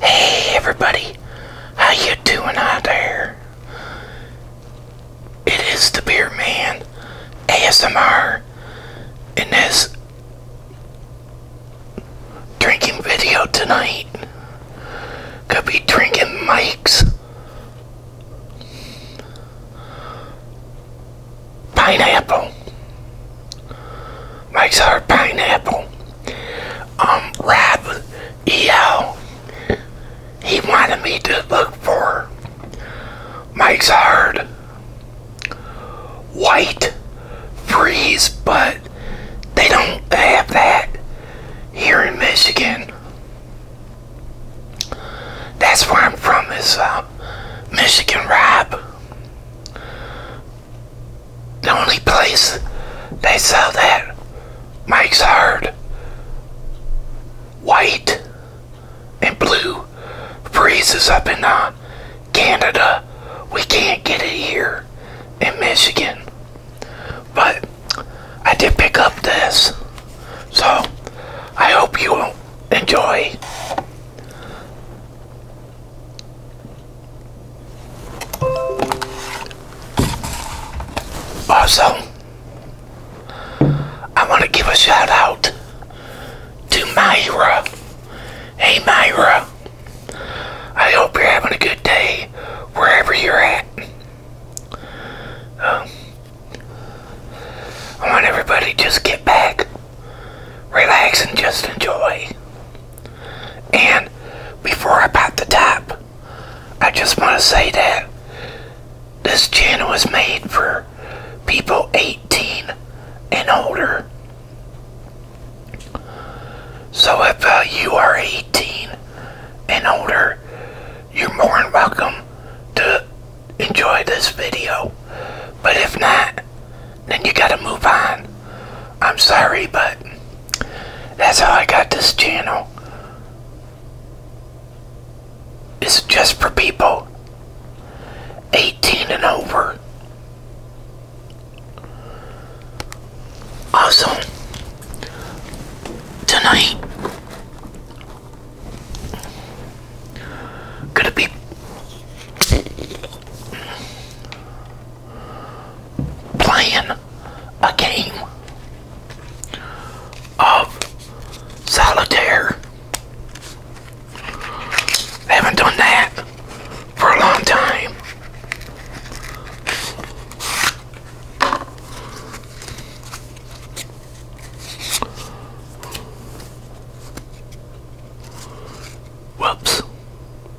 Hey everybody, how you doing out there? It is the Beer Man ASMR in this drinking video tonight. Could be drinking Mike's pineapple makes our pineapple. Um, Rob E.O. He wanted me to look for Mike's Hard White Freeze, but they don't have that here in Michigan. That's where I'm from, is uh, Michigan Rob. The only place they sell that makes hard white and blue freezes up in uh, Canada. We can't get it here in Michigan. But I did pick up this. So I hope you enjoy. Also, I want to give a shout out to Myra. Hey, Myra. I hope you're having a good day wherever you're at. Um, I want everybody just get back, relax, and just enjoy. And before I pop the top, I just want to say that this channel is made for people 18 and older. So if uh, you are 18 and older, you're more than welcome to enjoy this video. But if not, then you gotta move on. I'm sorry, but that's how I got this channel. It's just for people 18 and over. Also, tonight, gonna be playing a game of solitaire. Haven't done that for a long time. Whoops.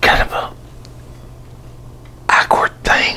Kind of a awkward thing.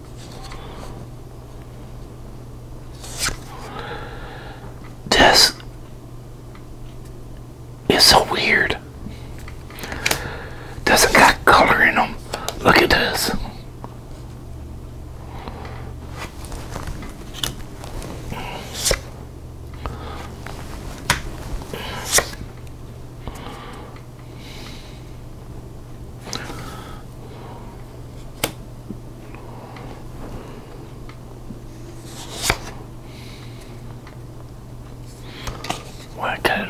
This is so weird. Doesn't got color in them. Look at this. Wicked.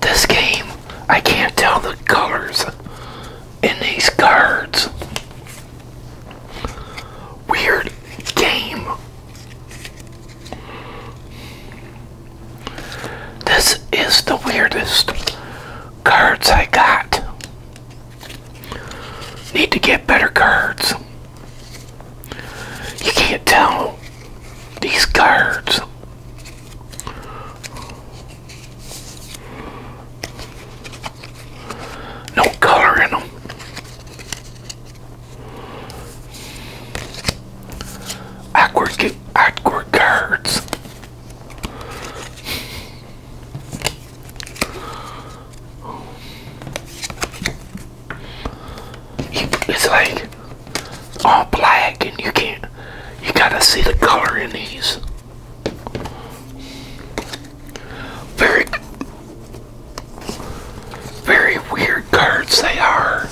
This game, I can't tell the colors in these cards. Weird game. This is the weirdest cards I got. Need to get better cards. You can't tell these cards. No color in them. Awkward, awkward cards. It's like all black and you can't, you gotta see the color in these. Very, very weird cards they are.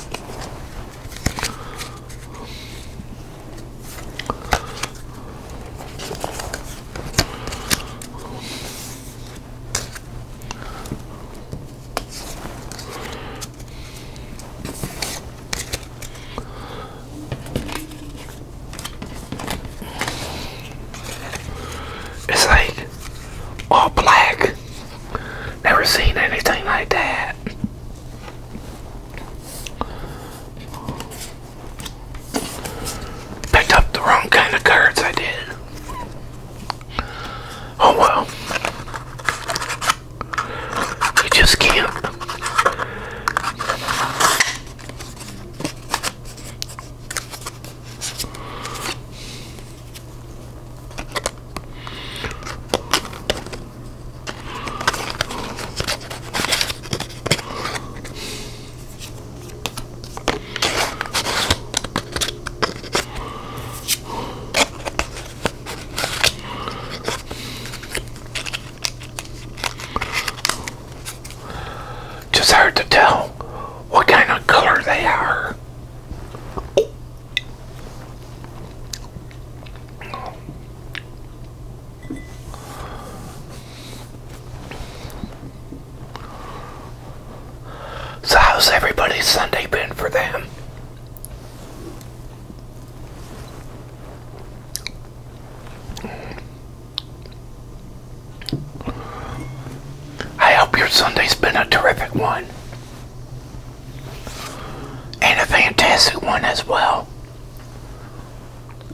It's like all black. Never seen anything like that. Picked up the wrong kind of cards I did. Oh well. You just can't. Just hard to tell what kind of color they are. So, how's everybody's Sunday been for them? I hope your Sunday's been a terrific one and a fantastic one as well.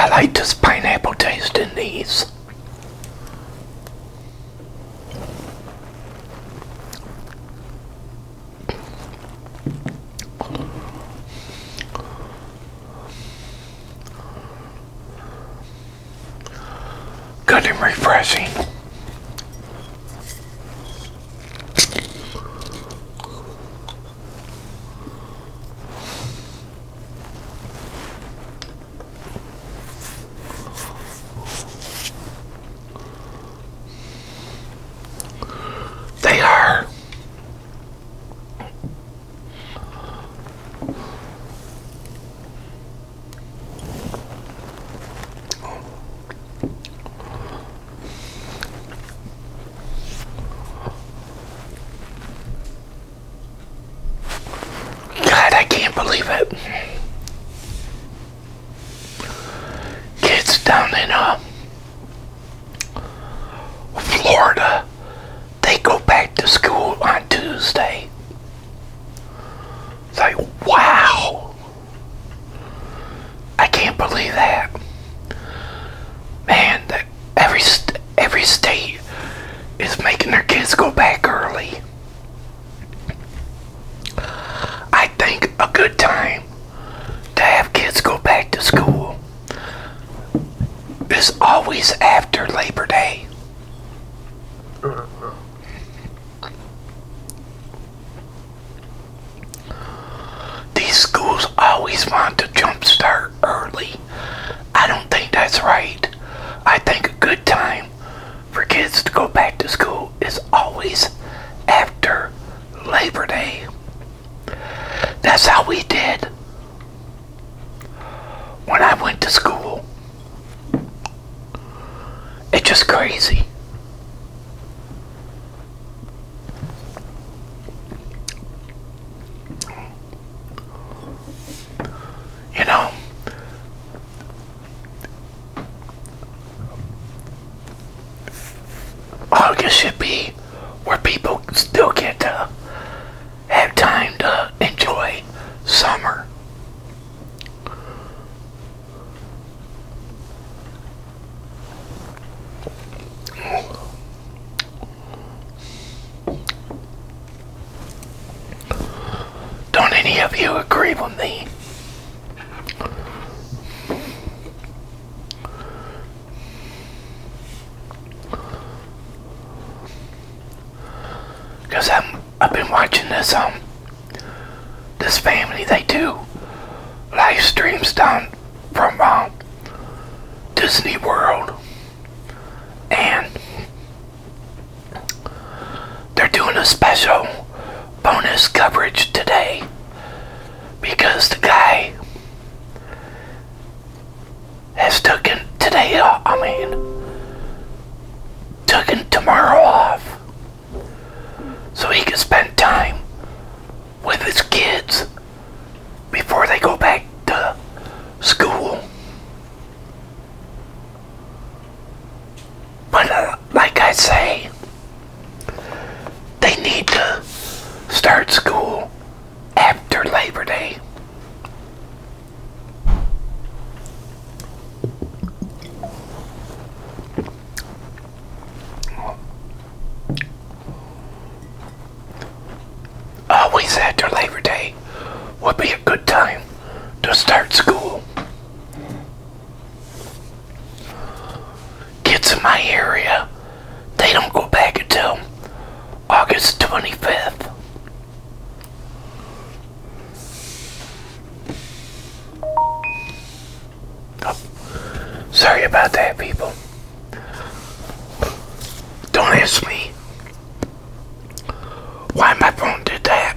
I like this pineapple taste in these. Good and refreshing. They are God, I can't believe it. Kids down in uh, Florida they go back to school on Tuesday. It's like, wow! I can't believe that. Man, that every, every state is making their kids go back early. I think a good time to have kids go back to school is always after Labor Day. These schools always want to jumpstart early. I don't think that's right. I think a good time for kids to go back to school is always after Labor Day. That's how we did when I went to school. It's just crazy. You know, I August should be where people still get to have time to enjoy summer. Don't any of you agree with me? Cause I'm I've been watching this um this family they do live streams down from um, Disney World and they're doing a special bonus coverage today because the guy has taken today I mean, taken tomorrow off so he can spend time with his kids before they go back to school. But uh, like I say, they need to start school after Labor Day. Always after Labor Day would be a good time to start school. Kids in my area they don't go back until August 25th. sorry about that, people. Don't ask me why my phone did that.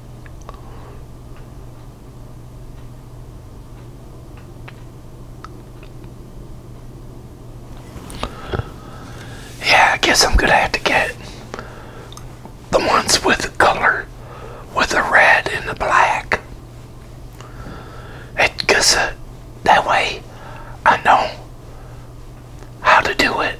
Yeah, I guess I'm gonna have to get the ones with the color, with the red and the black. It because uh, that way I know how to do it.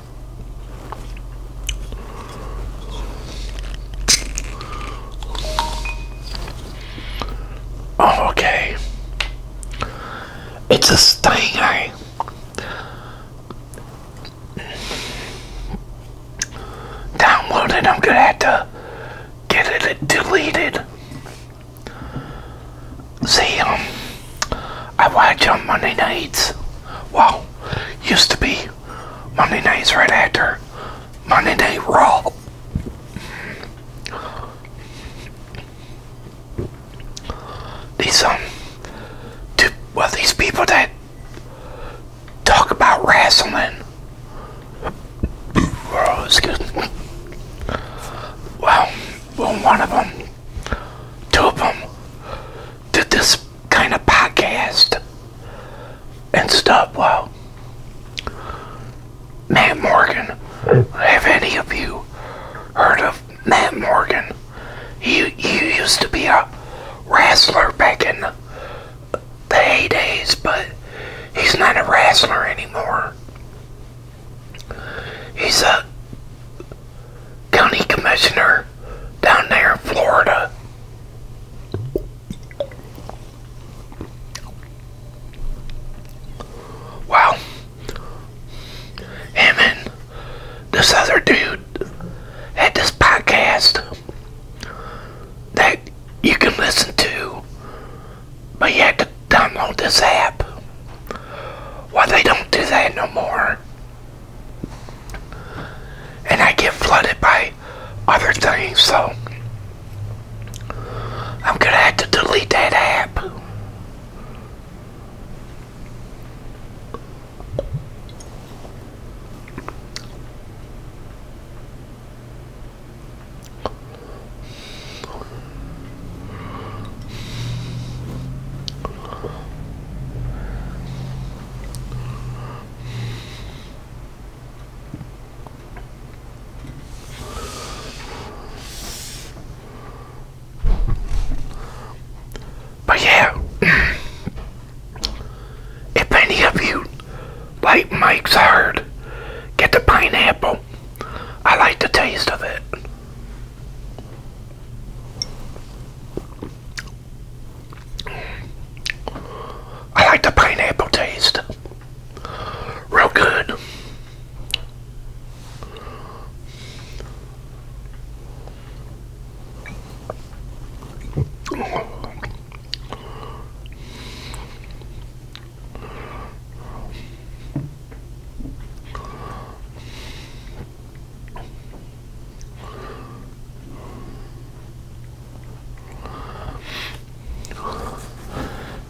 Oh, okay. It's a sting, eh? Downloaded. I'm gonna have to get it deleted. See, um, I watch on um, Monday nights. Well, used to be Monday nights right after Monday Night Raw. These, um, well, these people that talk about wrestling. Oh, well, one of them, two of them, did this kind of podcast and stuff. Well, Matt Morgan, have any of you heard of Matt Morgan? He, he used to be a wrestler back in the heydays, but he's not a wrestler anymore. He's a county commissioner down there in Florida. Well, him this other dude had this podcast that you can listen to, but you have to download this app. Why they don't do that no more and I get flooded by other things, so I'm gonna have to delete that app. But yeah, if any of you like Mike's hard, get the pineapple. I like the taste of it. I like the pineapple taste. Real good.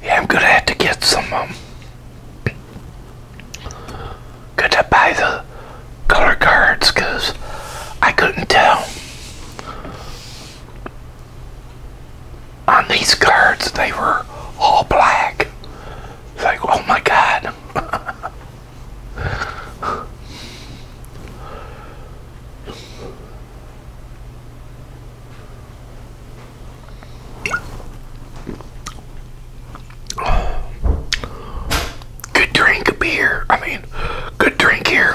Yeah, I'm gonna have to get some. Um, gonna buy the color cards I couldn't tell on these cards they were all black. like, oh my god. Good drink beer. I mean, good drink here.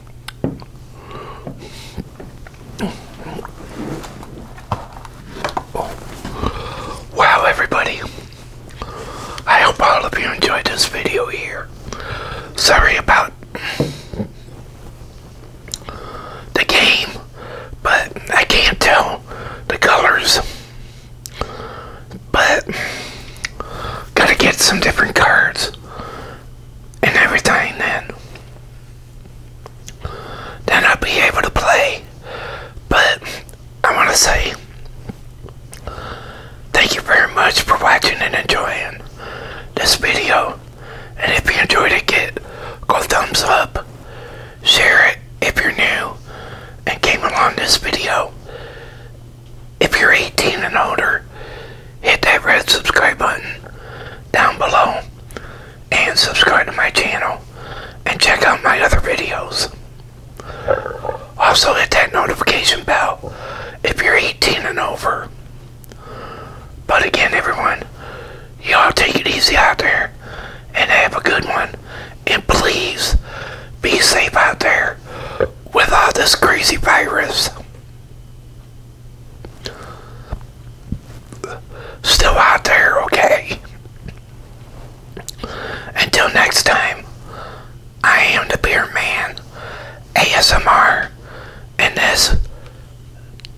Wow, everybody. I hope all of you enjoyed this video here. Sorry about the game, but I can't tell the colors. But, gotta get some different cards and everything then then I'll be able to play but I want to say thank you very much for watching and enjoying this video and if you enjoyed it get go thumbs up share it if you're new and came along this video if you're 18 and older hit that red subscribe button down below and subscribe to my channel and check out my other videos. Also hit that notification bell if you're 18 and over. But again everyone, y'all take it easy out there and have a good one. And please be safe out there with all this crazy virus still out there, okay? Until next time, I am the Beer Man ASMR, and this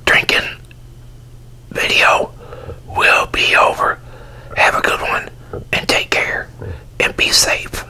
drinking video will be over. Have a good one, and take care, and be safe.